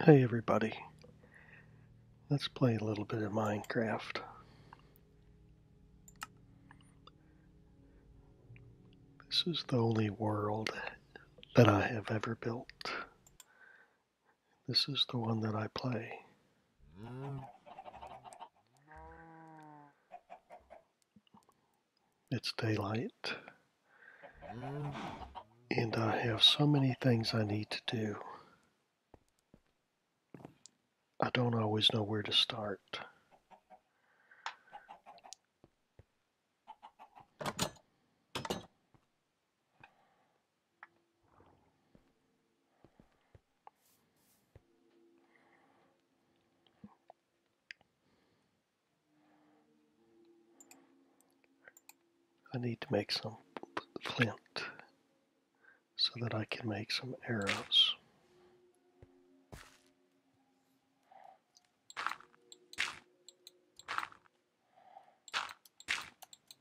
Hey everybody, let's play a little bit of Minecraft. This is the only world that I have ever built. This is the one that I play. It's daylight. And I have so many things I need to do. I don't always know where to start. I need to make some flint so that I can make some arrows.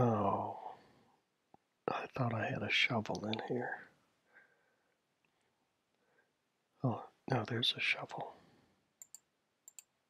Oh, I thought I had a shovel in here. Oh, no, there's a shovel.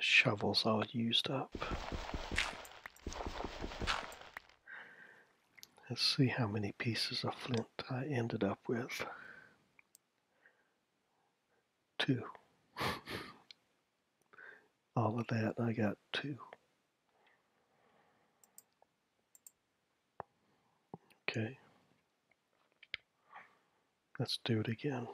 Shovels are used up. Let's see how many pieces of flint I ended up with. Two. All of that, I got two. Okay. Let's do it again.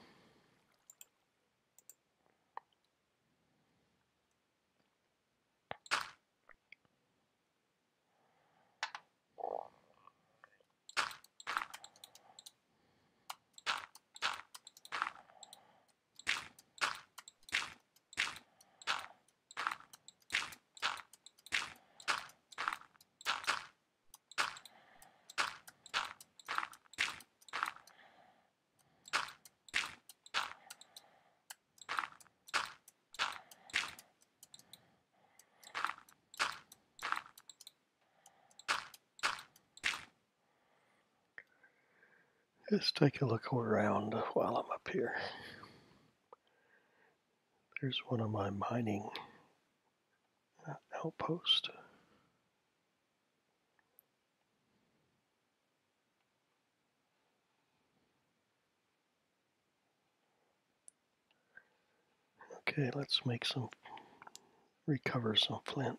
Let's take a look around while I'm up here. There's one of my mining outpost. Okay, let's make some, recover some flint.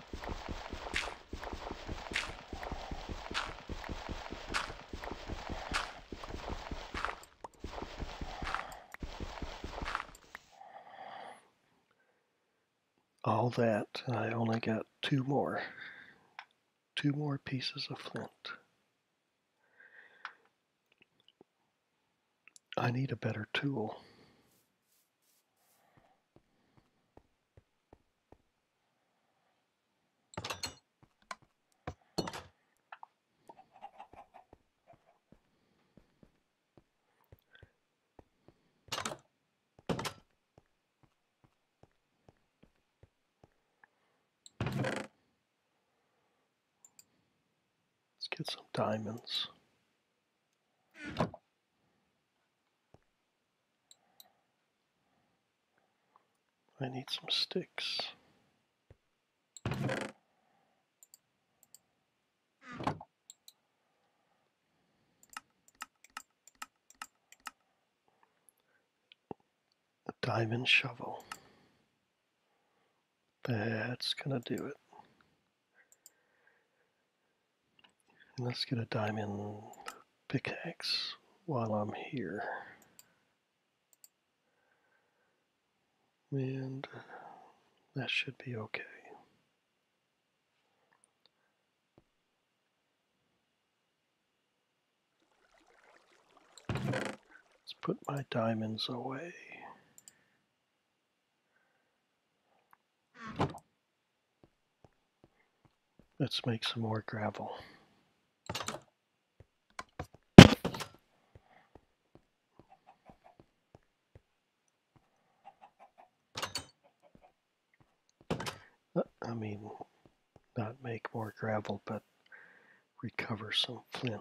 all that, I only got two more. Two more pieces of flint. I need a better tool. Let's get some diamonds. I need some sticks. A diamond shovel. That's gonna do it let's get a diamond pickaxe while I'm here. And that should be okay. Let's put my diamonds away. Let's make some more gravel. Uh, I mean, not make more gravel, but recover some flint.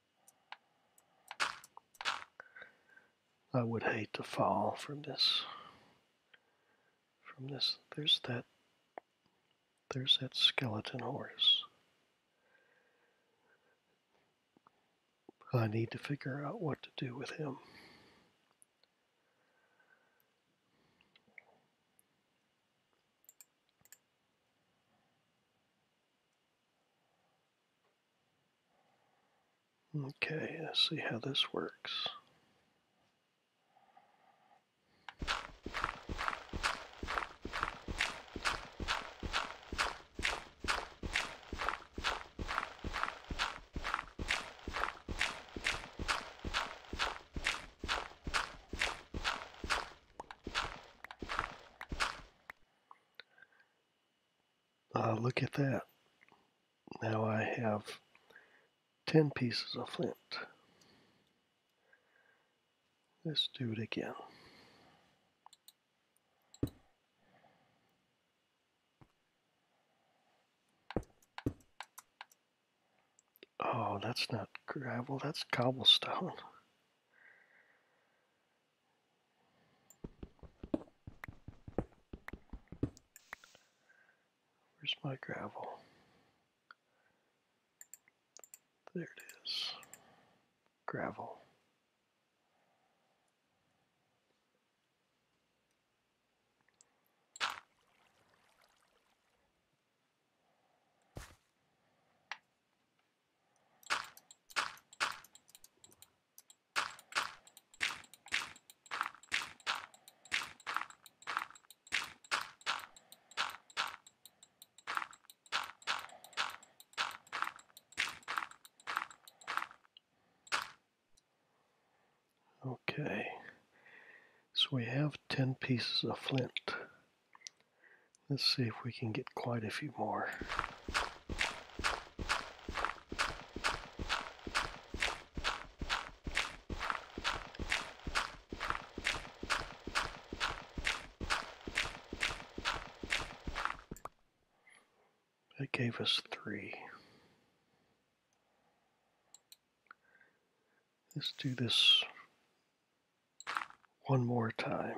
I would hate to fall from this. From this, there's that. There's that skeleton horse. I need to figure out what to do with him. Okay, let's see how this works. Uh, look at that. Now I have 10 pieces of flint. Let's do it again. Oh, that's not gravel, that's cobblestone. Where's my gravel? There it is. Gravel. Okay, so we have ten pieces of flint. Let's see if we can get quite a few more. It gave us three. Let's do this one more time.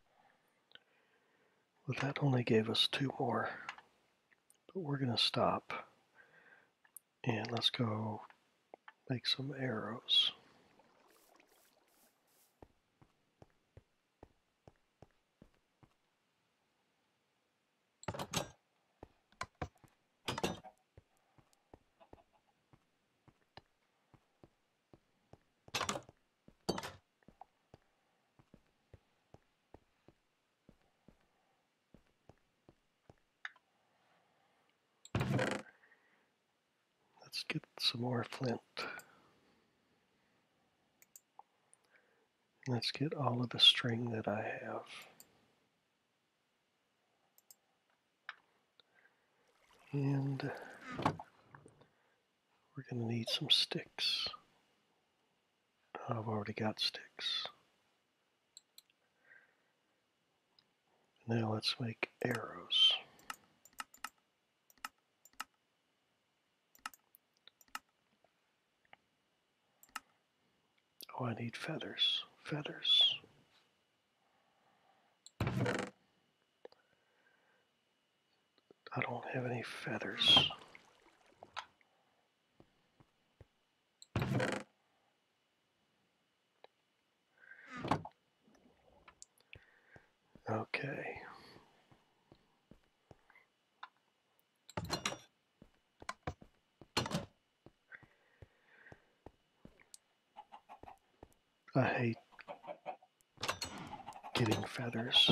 Well, that only gave us two more, but we're going to stop. And let's go make some arrows. Let's get some more flint. Let's get all of the string that I have. And we're going to need some sticks. I've already got sticks. Now let's make arrows. Oh, I need feathers. Feathers. I don't have any feathers. Okay. I hate getting feathers.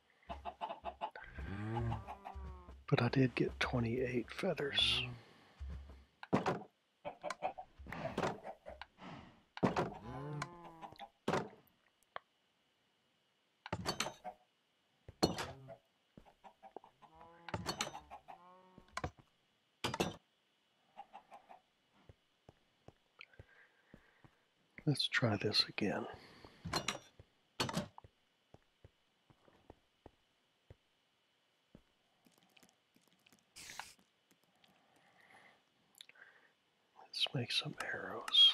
But I did get 28 feathers. Let's try this again. Let's make some arrows.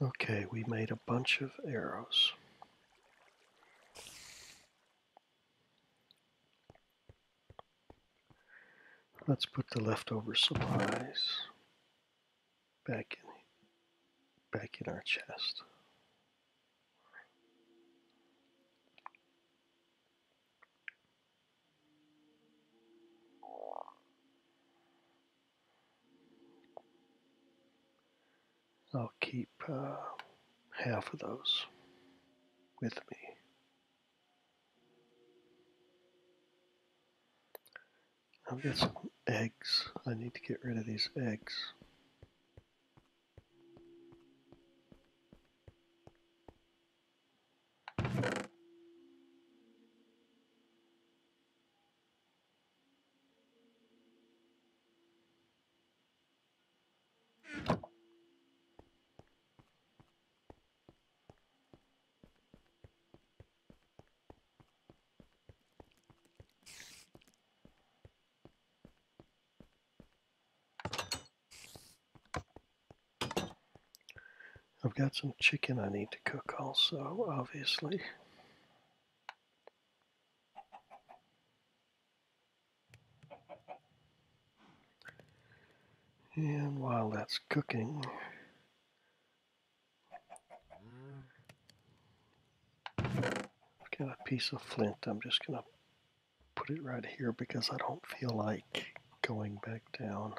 Okay, we made a bunch of arrows. Let's put the leftover supplies back in, back in our chest. I'll keep uh, half of those with me. I've got some eggs. I need to get rid of these eggs. I've got some chicken I need to cook also, obviously. And while that's cooking, I've got a piece of flint. I'm just going to put it right here because I don't feel like going back down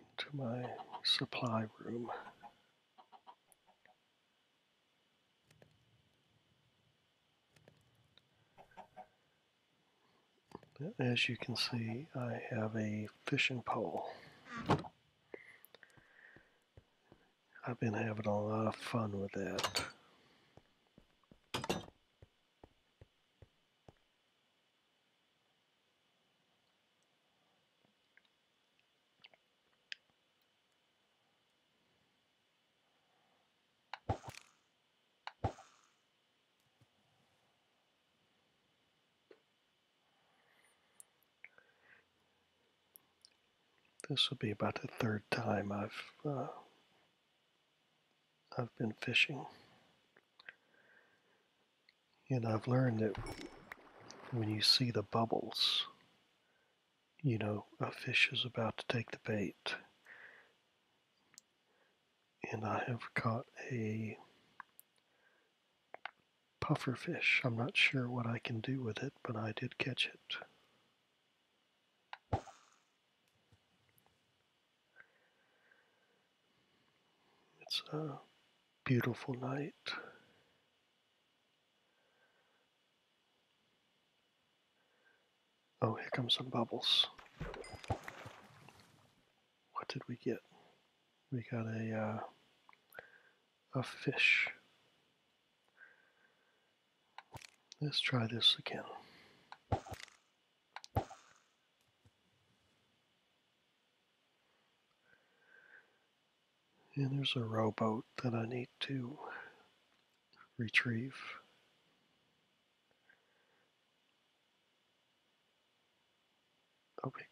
into my supply room. As you can see, I have a fishing pole. I've been having a lot of fun with that. This will be about the third time I've uh, I've been fishing, and I've learned that when you see the bubbles, you know a fish is about to take the bait. And I have caught a pufferfish. I'm not sure what I can do with it, but I did catch it. It's a beautiful night. Oh, here comes some bubbles what did we get? We got a uh, a fish. Let's try this again. And there's a rowboat that I need to retrieve. Okay,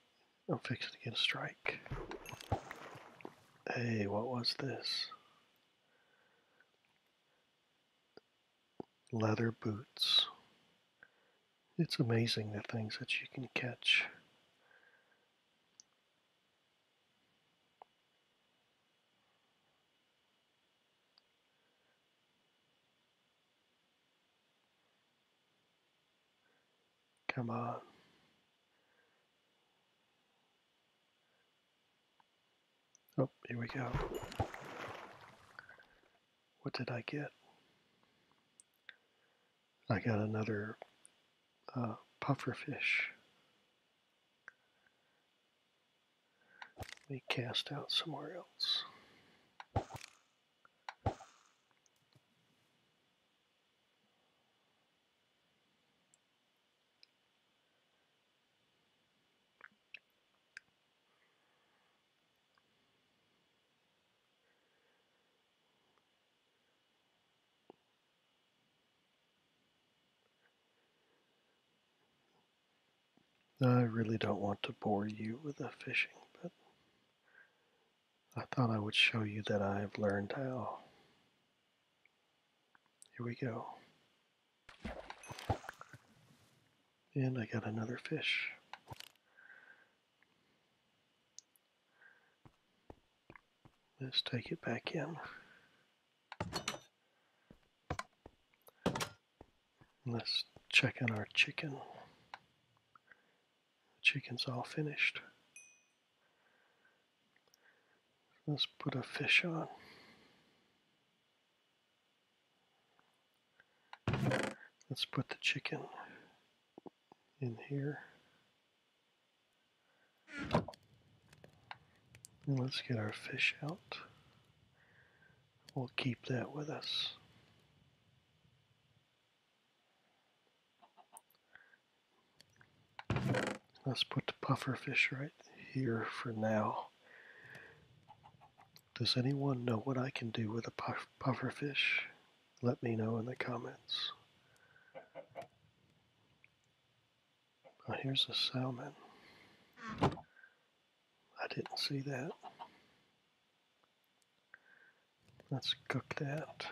I'm fixing to get a strike. Hey, what was this? Leather boots. It's amazing the things that you can catch. Come on. Oh, here we go. What did I get? I got another uh, pufferfish. Let me cast out somewhere else. I really don't want to bore you with the fishing, but I thought I would show you that I have learned how. Here we go. And I got another fish. Let's take it back in. Let's check on our chicken. The chickens all finished. Let's put a fish on. Let's put the chicken in here. let's get our fish out. We'll keep that with us. Let's put the puffer right here for now. Does anyone know what I can do with a pufferfish? Let me know in the comments. Oh, here's a salmon. I didn't see that. Let's cook that.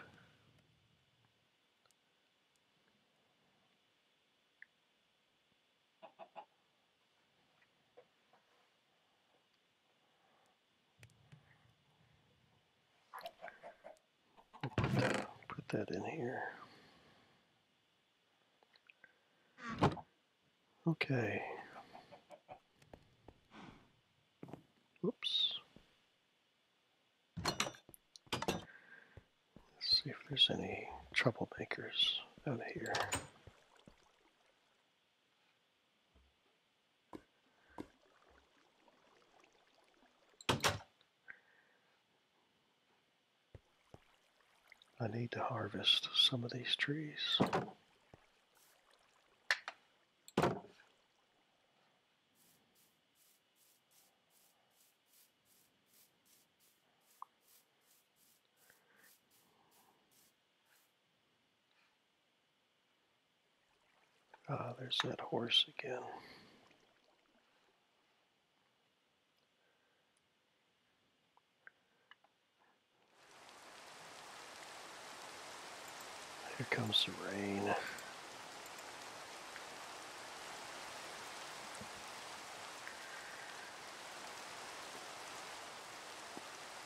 Put that, in here. Okay. Oops. Let's see if there's any troublemakers out here. I need to harvest some of these trees. Ah, there's that horse again. Here comes the rain.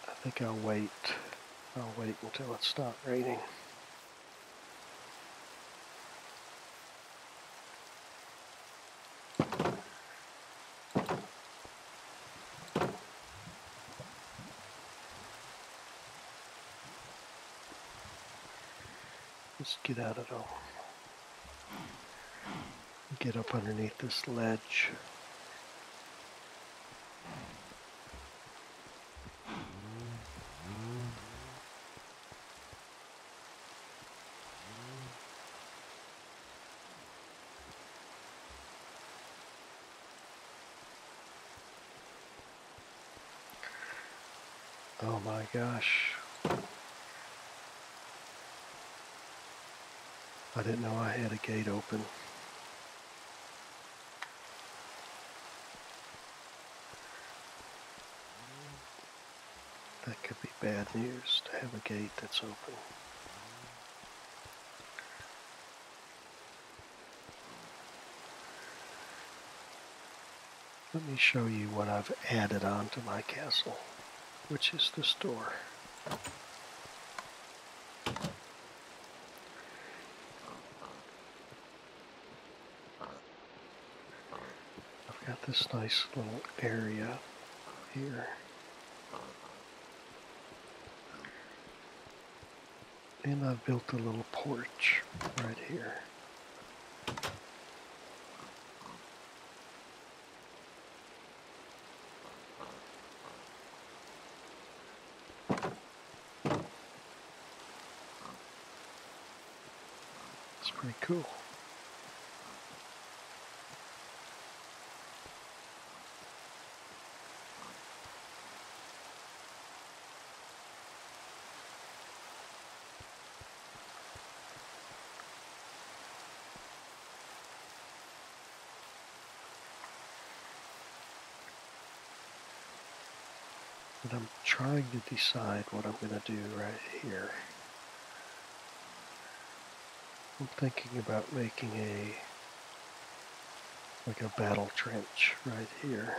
I think I'll wait. I'll wait until it stops raining. Let's get out of all. Get up underneath this ledge. Oh my gosh. I didn't know I had a gate open. That could be bad news to have a gate that's open. Let me show you what I've added on to my castle, which is the store. I've got this nice little area here. And I've built a little porch right here. It's pretty cool. But I'm trying to decide what I'm going to do right here. I'm thinking about making a like a battle trench right here.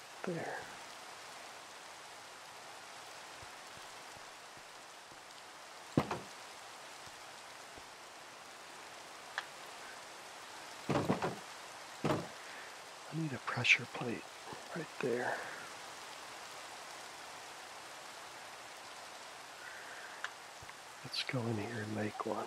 I need a pressure plate right there. Let's go in here and make one.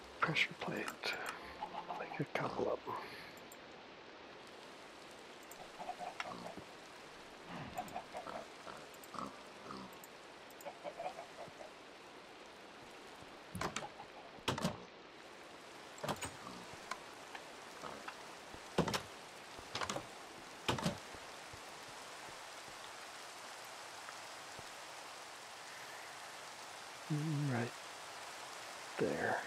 pressure plate, like a couple of them right there.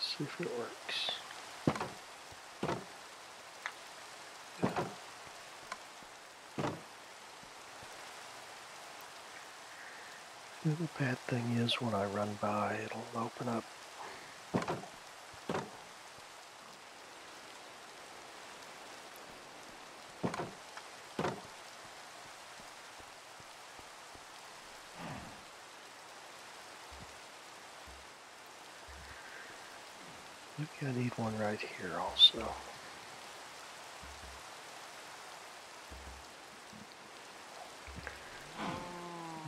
see if it works. The other bad thing is when I run by, it'll open up Maybe I need one right here also.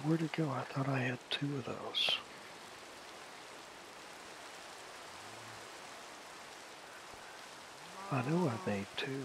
Where'd it go? I thought I had two of those. I know I made two.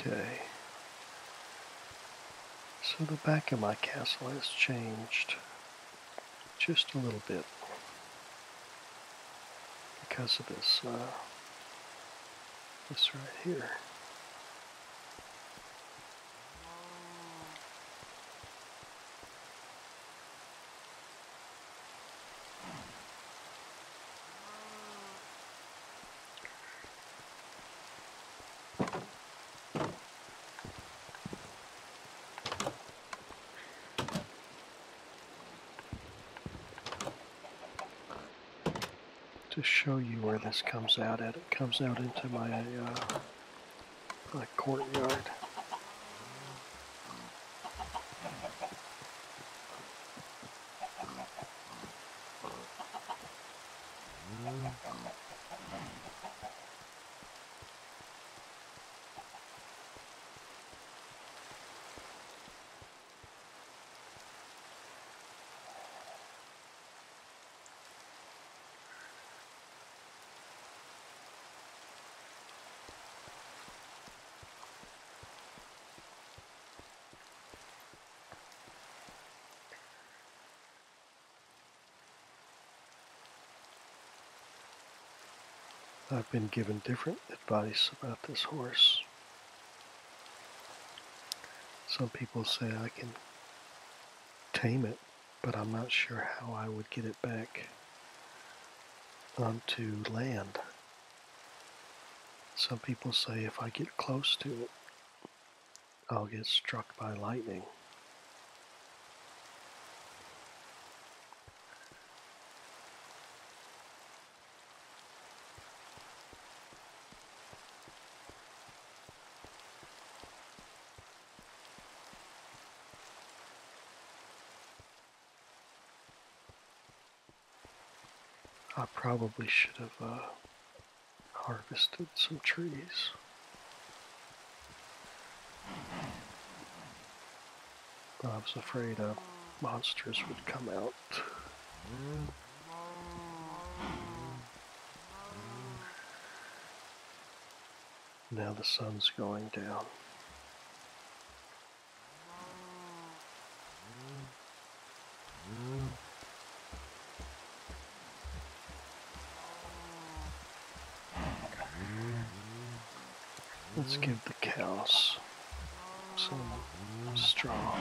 Okay. So the back of my castle has changed just a little bit because of this, uh, this right here to show you where this comes out at. It comes out into my, uh, my courtyard. I've been given different advice about this horse. Some people say I can tame it, but I'm not sure how I would get it back onto land. Some people say if I get close to it, I'll get struck by lightning. I probably should have uh, harvested some trees. I was afraid uh, monsters would come out. Now the sun's going down. Let's give the cows some straw.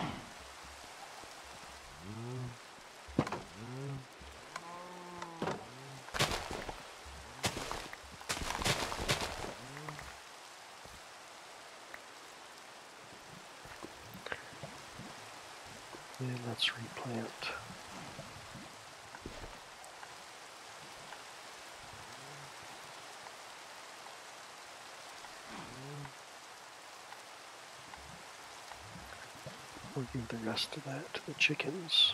And let's replant. We'll give the rest of that to the chickens.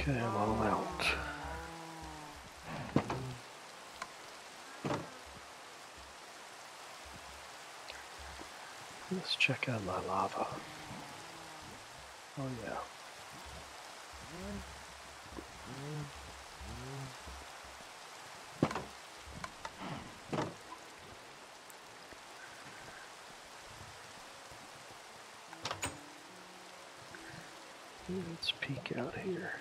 Okay, I'm all out. Let's check out my lava. Oh yeah. Let's peek out here.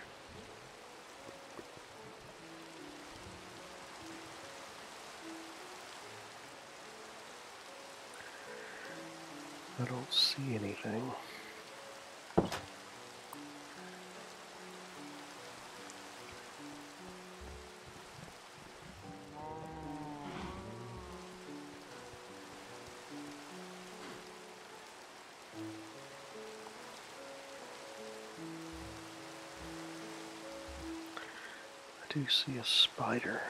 I don't see anything. I do see a spider.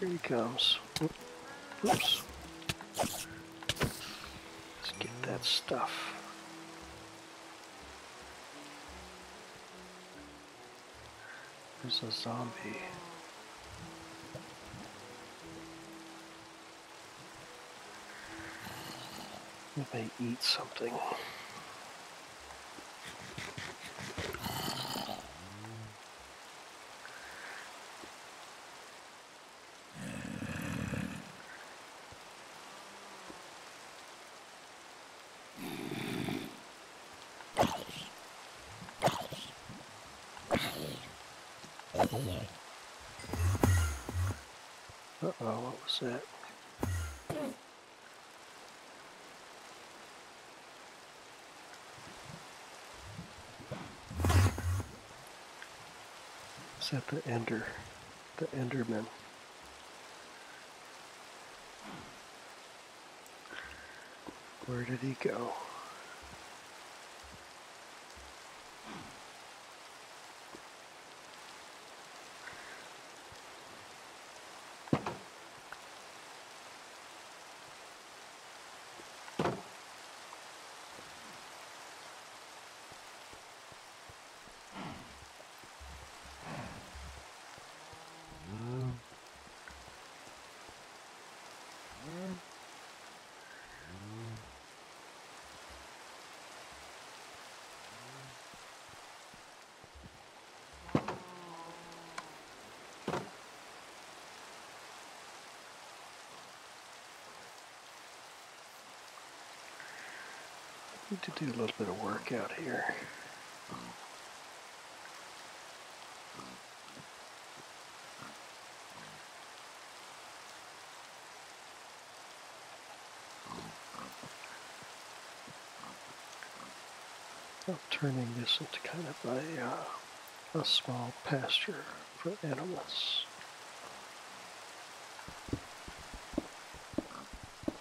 Here he comes. Oops. Let's get that stuff. There's a zombie. If I eat something oh what was that? Is that the Ender? The Enderman. Where did he go? Need to do a little bit of work out here. I'm turning this into kind of a, uh, a small pasture for animals.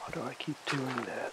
Why do I keep doing that?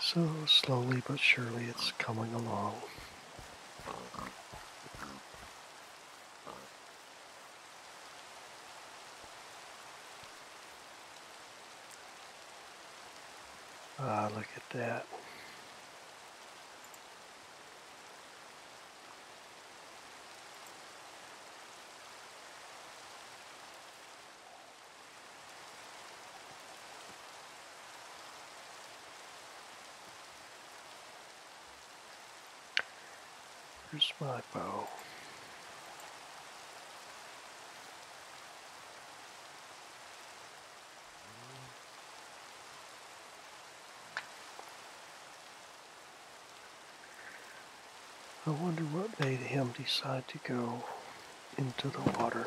So slowly but surely it's coming along. Ah, look at that. Where's my bow? I wonder what made him decide to go into the water.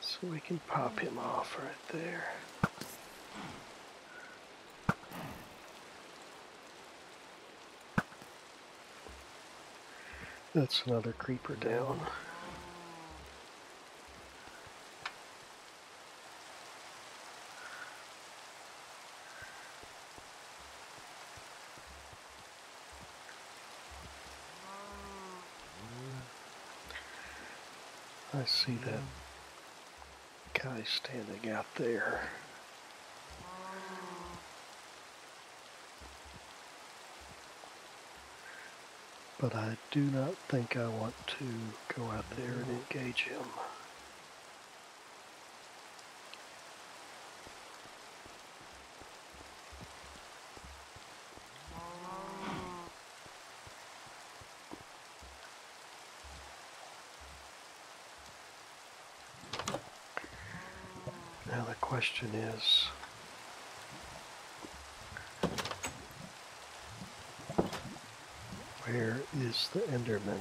So we can pop him off right there. That's another creeper down. I see that guy standing out there. But I do not think I want to go out there and engage him. Now the question is, where is the Enderman?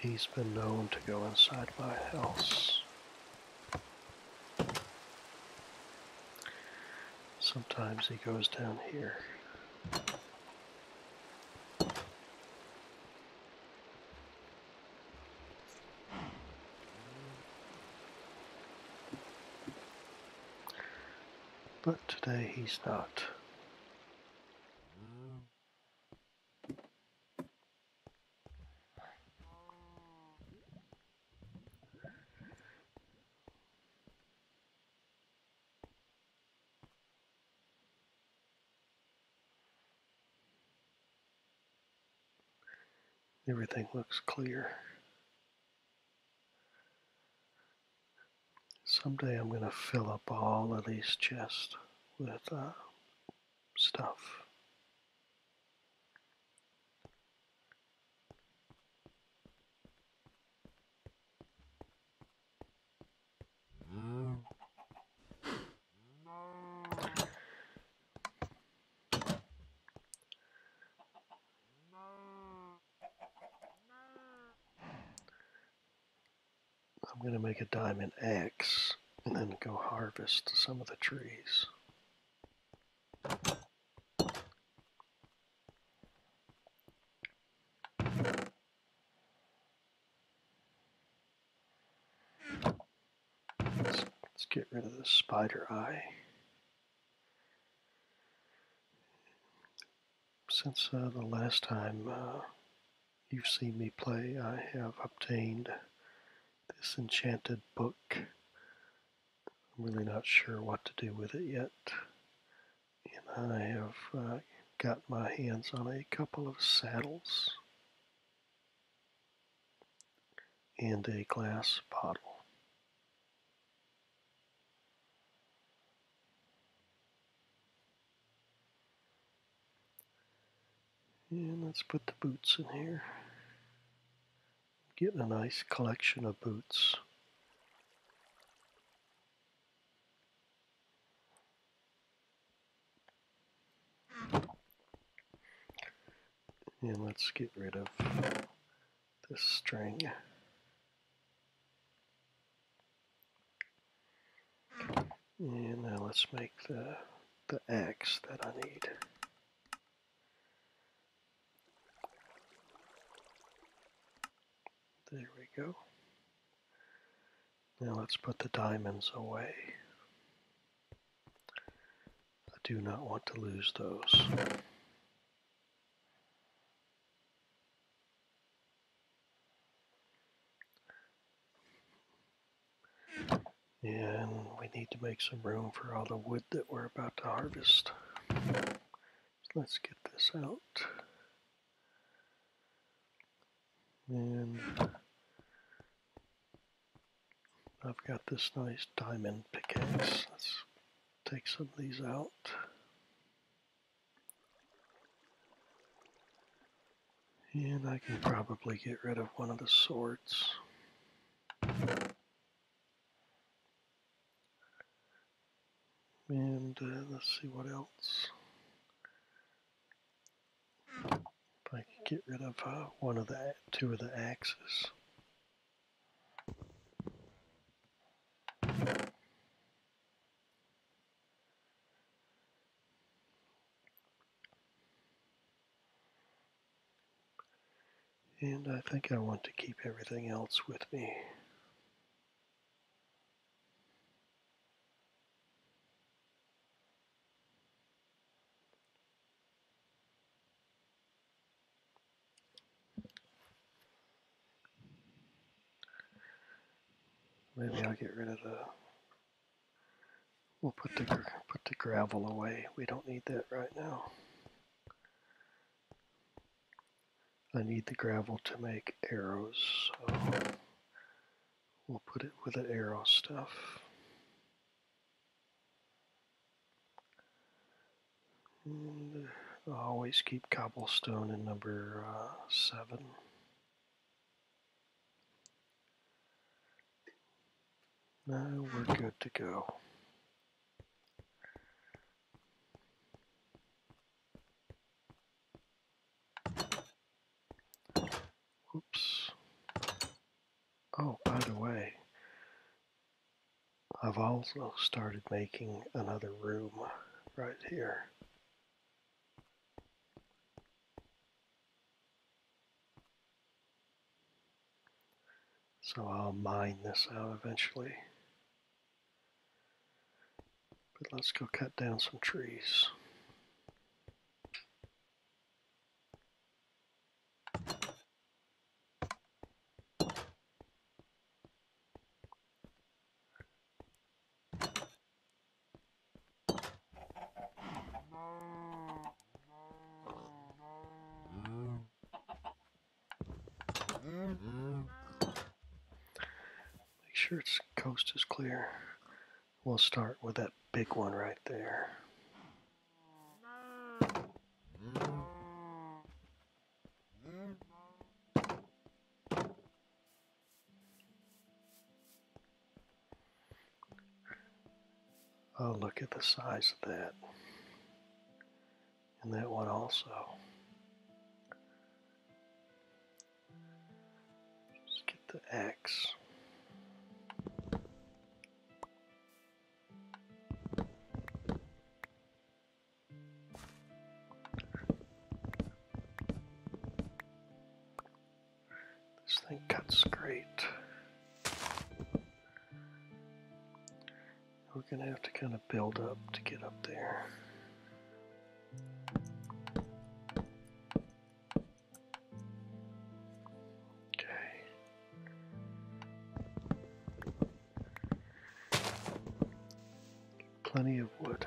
He's been known to go inside my house. Sometimes he goes down here. But today he's not. Everything looks clear. Someday I'm going to fill up all of these chests with uh, stuff. I'm going to make a diamond axe and then go harvest some of the trees. Let's, get rid of the spider eye. Since uh, the last time uh, you've seen me play, I have obtained this enchanted book. I'm really not sure what to do with it yet. And I have uh, got my hands on a couple of saddles and a glass bottle. And let's put the boots in here. Getting a nice collection of boots. And let's get rid of this string. And now let's make the, the X that I need. There we go. Now let's put the diamonds away. I do not want to lose those. And we need to make some room for all the wood that we're about to harvest. let's get this out. And I've got this nice diamond pickaxe. Let's take some of these out. And I can probably get rid of one of the swords. And uh, let's see what else. If I could get rid of uh, one of the two of the axes. And I think I want to keep everything else with me. Maybe I'll get rid of the, we'll put the, put the gravel away. We don't need that right now. I need the gravel to make arrows, so we'll put it with the arrow stuff. And always keep cobblestone in number uh, seven. Now we're good to go. Oops. Oh, by the way, I've also started making another room right here. So I'll mine this out eventually. But let's go cut down some trees. Make sure its coast is clear. We'll start with that big one right there. Mm. Oh, look at the size of that. And that one also. Just get the X. This thing cuts great. We're going to have to kind of build up to get up there. Okay. Plenty of wood.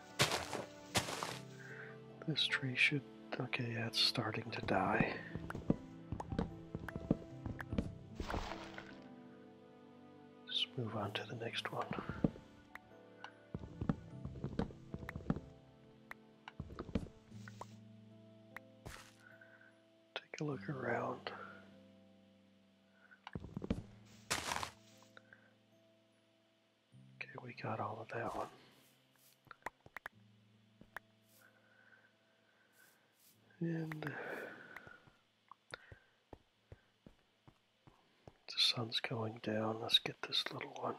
This tree should... Okay, yeah, it's starting to die. Just move on to the next one. Take a look around. Okay, we got all of that one. And the sun's going down. Let's get this little one.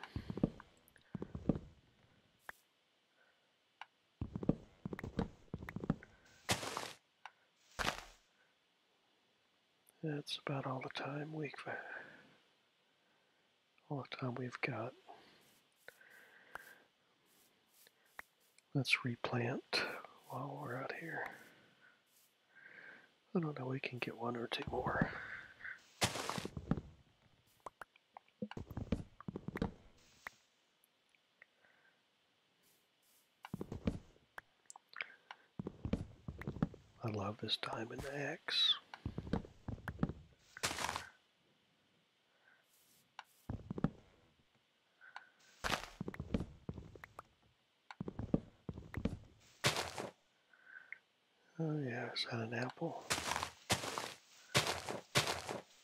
That's about all the time we have all the time we've got. Let's replant while we're out here. I don't know, we can get one or two more. I love this diamond axe. X. Oh yeah, is that an apple?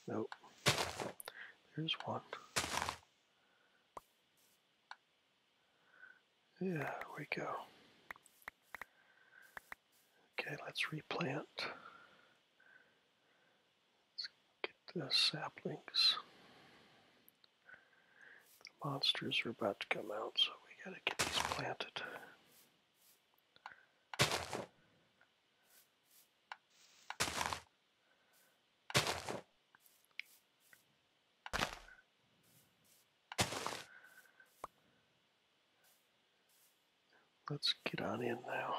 Nope. There's one. Yeah, we go. Okay, let's replant. Let's get the saplings. The monsters are about to come out, so we gotta get these planted. Let's get on in now.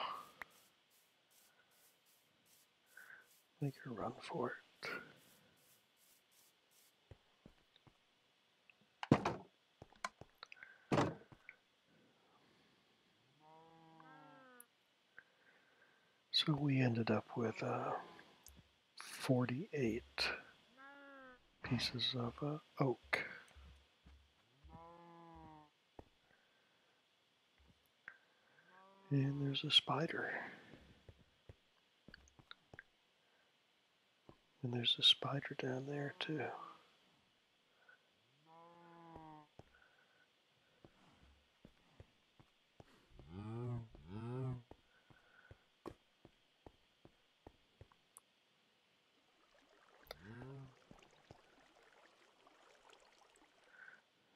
Make a run for it. So we ended up with uh, 48 pieces of uh, oak. And there's a spider. And there's a spider down there too.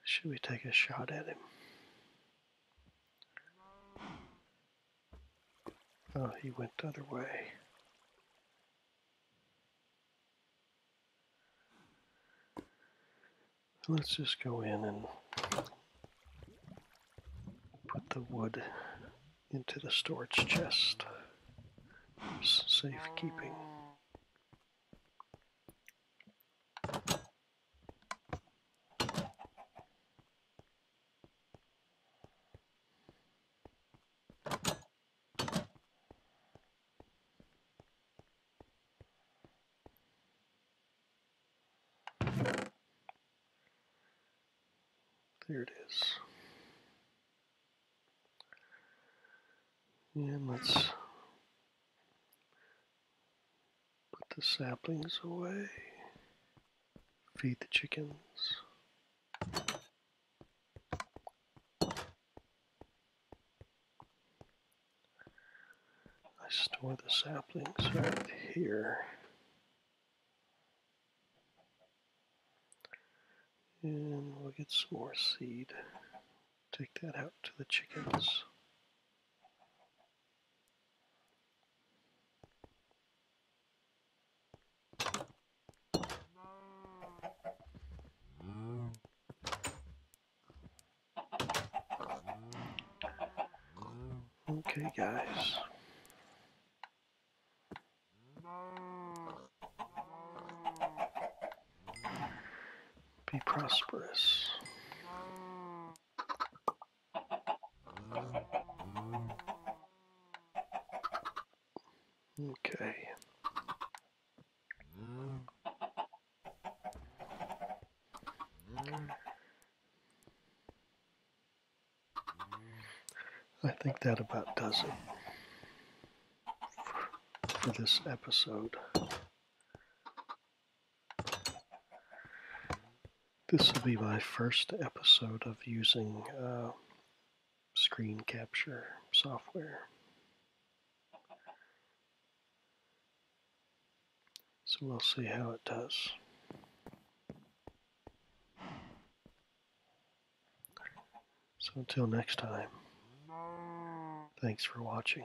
Should we take a shot at him? Oh, he went the other way. Let's just go in and put the wood into the storage chest for safekeeping. There it is. And let's put the saplings away, feed the chickens. I store the saplings right here. And we'll get some more seed. Take that out to the chickens. Okay, guys. Be prosperous. Okay. I think that about does it for this episode. This will be my first episode of using uh, screen capture software. So we'll see how it does. So until next time, thanks for watching.